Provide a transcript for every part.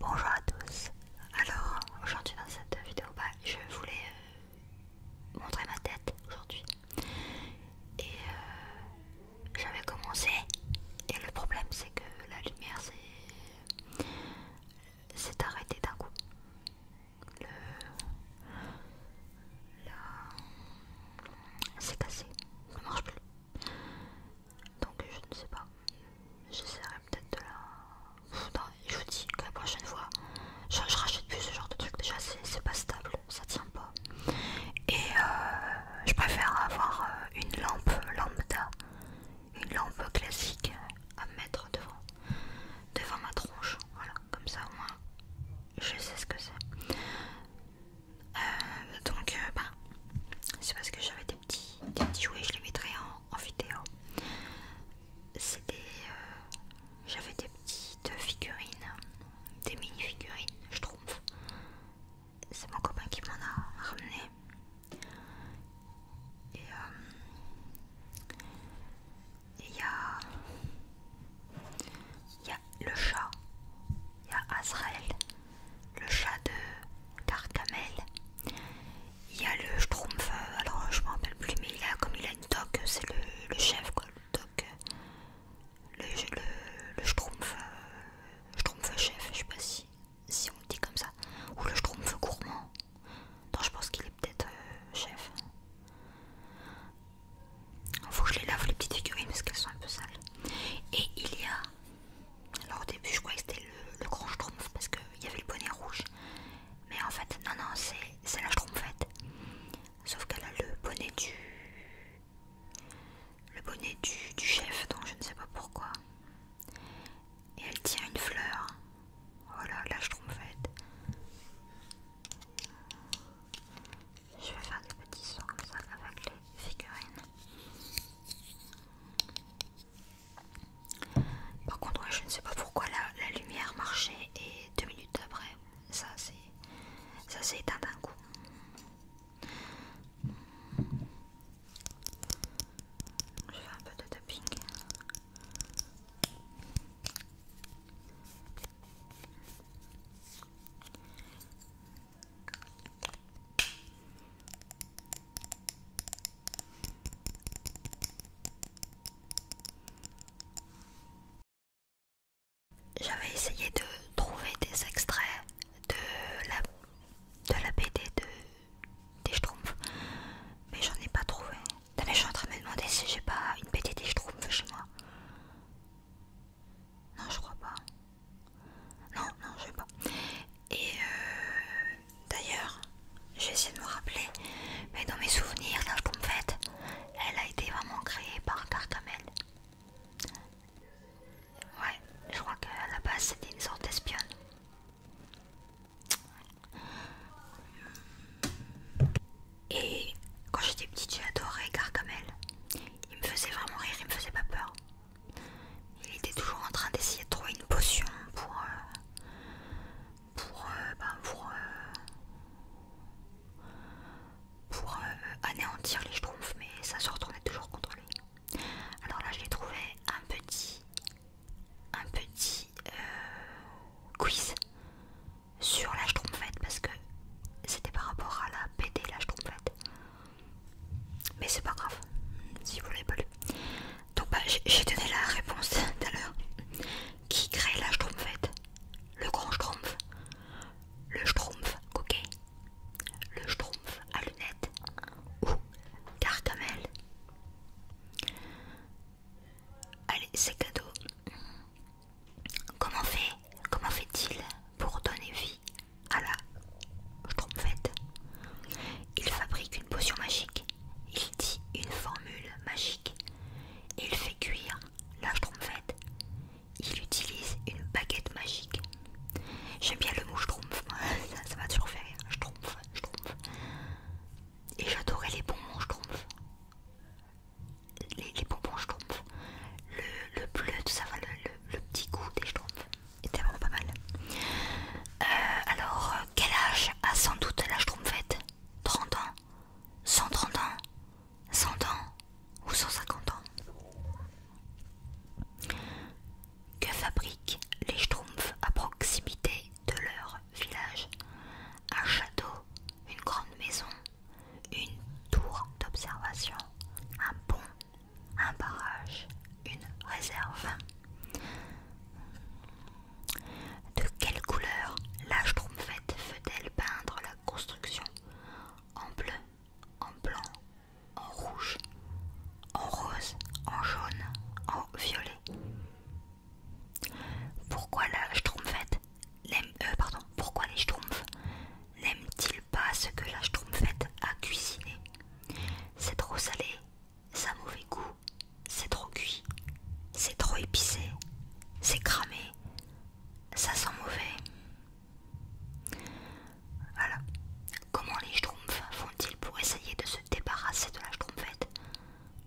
Bonjour à tous, alors aujourd'hui dans cette vidéo bah, je voulais euh, montrer ma tête aujourd'hui et euh, j'avais commencé et le problème c'est que la lumière s'est arrêtée d'un coup le... C'est cassé, ça marche plus. Donc je ne sais pas. J'essaierai peut-être de la... je vous dis que la prochaine fois, je, ne rachète plus ce genre de truc. Déjà c'est pas stable, ça tient pas. Et euh, je préfère avoir euh, une lampe lambda, une lampe classique à mettre devant, devant ma tronche. Voilà, comme ça au moins je sais ce que c'est. Euh, donc, euh, bah, c'est parce que j'avais des petits, des petits jouets, je les mettrai en, vidéo. C'était. Euh, j'avais des petites figurines, des mini-figurines, je trouve. C'est mon copain qui m'en a ramené. Et, et il y a... Il y a le chat. Il y a Azrael. Le chat de Carcamel. Il y a le Schtroumpf. Alors je me rappelle plus, mais il a, comme il a une toque, c'est le, chef quoi. Le toque. Le, Schtroumpf. Euh, Schtroumpf chef, je sais pas si, si on dit comme ça. Ou le Schtroumpf gourmand. Donc je pense qu'il est peut-être euh, chef, il Faut que je les lave les petites figurines parce qu'elles sont un peu sales. Et il y a. Alors au début, je croyais que c'était le, grand schtroumpf parce qu'il y avait le bonnet rouge. Mais en fait, non, non, c'est la schtroumpfette. Sauf qu'elle a le bonnet du. Le bonnet du chef, donc je ne sais pas pourquoi. Et elle tient une fleur. Voilà, oh là je faite. Je vais faire des petits sons comme ça avec les figurines. Par contre, moi je ne sais pas pourquoi la, lumière marchait et deux minutes après, ça s'est éteint d'un coup. Je fais un peu de tapping. J'avais essayé de trouver des extraits de la, de la BD de des schtroumpfs, mais j'en ai pas trouvé. D'ailleurs, je suis en train de me demander si j'ai pas une petite des chez moi. Non, je crois pas. Non, non, je sais pas. Et euh, d'ailleurs, je vais essayer de me rappeler, mais dans mes souvenirs, la schtroumpfette, elle a été vraiment créée par Gargamel. Ouais, je crois qu'à la base c'était une sorte d'espionne. Et quand j'étais petite, adoré Gargamel. Il me faisait vraiment rire, il me faisait pas peur. Il était toujours en train d'essayer de trouver une potion pour. Euh, pour. Euh, ben, pour. Euh, pour anéantir les schtroumpfs, mais ça se retournait toujours contre lui. Alors là, je l'ai trouvé un petit un petit euh, quiz sur la trompette parce que c'était par rapport à la BD l'âge trompette. Mais c'est pas grave si vous l'avez pas lu. Donc bah, j'ai donné la réponse tout à l'heure. Qui crée la trompette Le grand schtroumpf Le schtroumpf coquet Le schtroumpf à lunettes Ou Gargamel Allez, c'est cadeau. Comment fait il pour donner vie à la trompette Il fabrique une potion magique. Il dit une formule magique. Il fait cuire la trompette. Il utilise une baguette magique. J'aime bien le mot schtroumpf, ça va toujours faire. rire. Et j'adorais les bonbons, je trouve. Les, bonbons, je trouve. Le, bleu, tout ça, le, le, petit goût des schtroumpfs était vraiment pas mal. Euh, alors, euh, quel âge a sans doute la schtroumpfette 30 ans 130 ans 100 ans Ou 150 ans que fabriquent les Schtroumpfs à proximité de leur village. Un château, une grande maison, une tour d'observation, un pont, un barrage, une réserve. De quelle couleur la Schtroumpfette fait elle peindre la construction En bleu, en blanc, en rouge, en rose, en jaune, en violet. Pourquoi la euh, pardon, pourquoi les Schtroumpfs n'aiment-ils pas ce que la Schtroumpfette a cuisiné C'est trop salé, ça a mauvais goût, c'est trop cuit, c'est trop épicé, c'est cramé, ça sent mauvais. Voilà. Comment les schtroumpfs font-ils pour essayer de se débarrasser de la schtroumpfette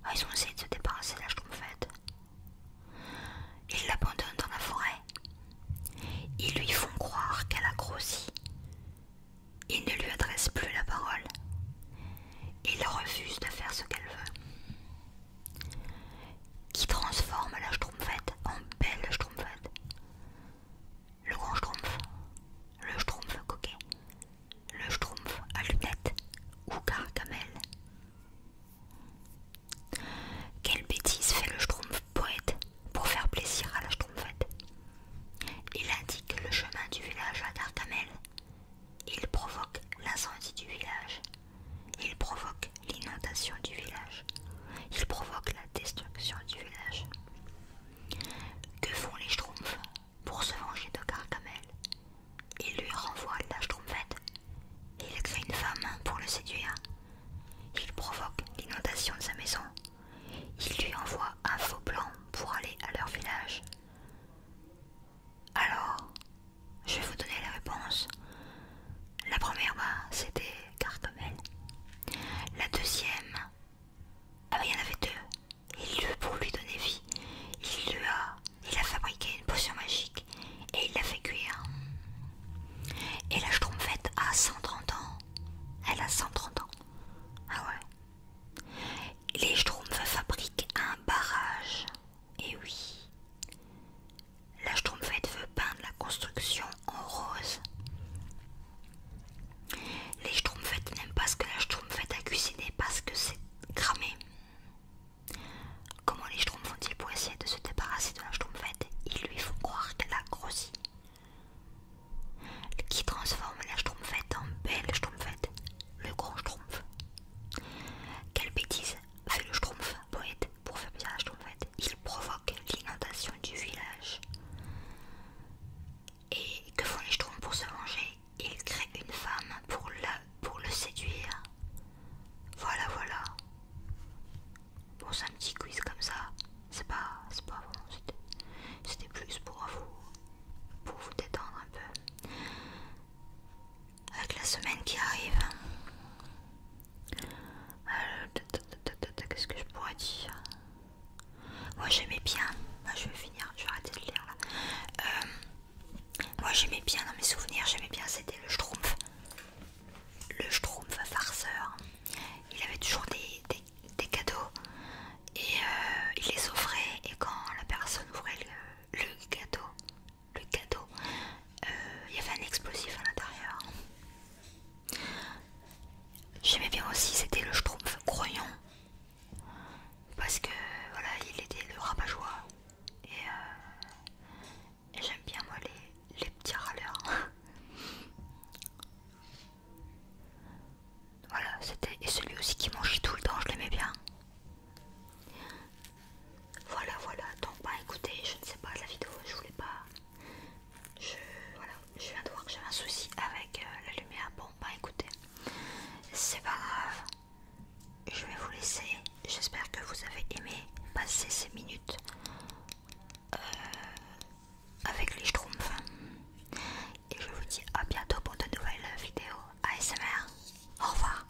ah, Ils ont essayé de se débarrasser de la schtroumpfette. Ils l'abandonnent dans la forêt. Ils lui font croire qu'elle a grossi. Ils ne lui adressent plus la parole. Ils refusent de faire ce qu'elle veut. Qui transforme la schtroumpfette en belle schtroumpfette le grand schtroumpf, le schtroumpf coquet, le schtroumpf à lunettes ou carcamel. Quelle bêtise fait le schtroumpf poète pour faire plaisir à la schtroumpfette. Il indique le chemin du village à Gargamel. Il provoque l'incendie du village. Il provoque l'inondation du village il provoque la destruction du village. Que font les Schtroumpfs pour se venger de Carcamel Il lui renvoie la Schtroumpfette. Il crée une femme pour le séduire. Il provoque l'inondation de sa maison. Il lui envoie un faux plan pour aller à leur village. Alors, je vais vous donner la réponse. La première, bah, c'était elle. La deuxième, ah bah, il y en avait deux. Et lui, pour lui donner vie, il lui a, il a fabriqué une potion magique et il l'a fait cuire. Et la Schtroumpfette a 130 ans. Elle a 130 ans. Ah ouais. Les Schtroumpfs fabriquent un barrage. Et oui. La Schtroumpfette veut peindre la construction en rose. Les Schtroumpfettes n'aiment pas ce que la Schtroumpfette a cuisiné parce que c'est cramé. Comment les Schtroumpfs font-ils essayer de se débarrasser de la Schtroumpfette Ils lui font croire qu'elle a grossi. Qui transforme la Schtroumpfette en belle Schtroumpfette Le grand Schtroumpf. Quelle bêtise fait le Schtroumpf, poète pour faire bien, village en fait. il provoque l'inondation du village. Et que font les Schtroumpfs pour se venger Ils créent une femme pour, la, pour le séduire. Voilà, voilà. Pour c'est un petit quiz comme ça. C'est pas, c'est pas bon. C'était plus pour vous, pour vous détendre un peu. Avec la semaine qui arrive, euh, qu'est-ce que je pourrais dire Moi j'aimais bien. je vais finir, je vais arrêter de lire là. Euh, moi j'aimais bien dans mes souvenirs, j'aimais bien c'était le Schtroumpf. Le Schtroumpf farceur. Il avait toujours des, cadeaux et euh, il les offrait et quand la personne ouvrait le, le gâteau, le cadeau. Euh, il y avait un explosif à l'intérieur. J'aimais bien aussi, c'était le schtroumpf croyant. Parce que voilà, il était le rabat euh, Et, j'aime bien moi les, petits râleurs. voilà, c'était. Et celui aussi qui mangeait tout le temps, je l'aimais bien. Voilà, voilà. Donc, bah écoutez, je ne sais pas, la vidéo, je voulais pas. Je, voilà, je viens de voir que j'avais un souci avec euh, la lumière. Bon, bah écoutez, c'est pas grave. Je vais vous laisser. J'espère que vous avez aimé passer ces minutes euh, avec les schtroumpfs. Et je vous dis à bientôt pour de nouvelles vidéos ASMR. Au revoir.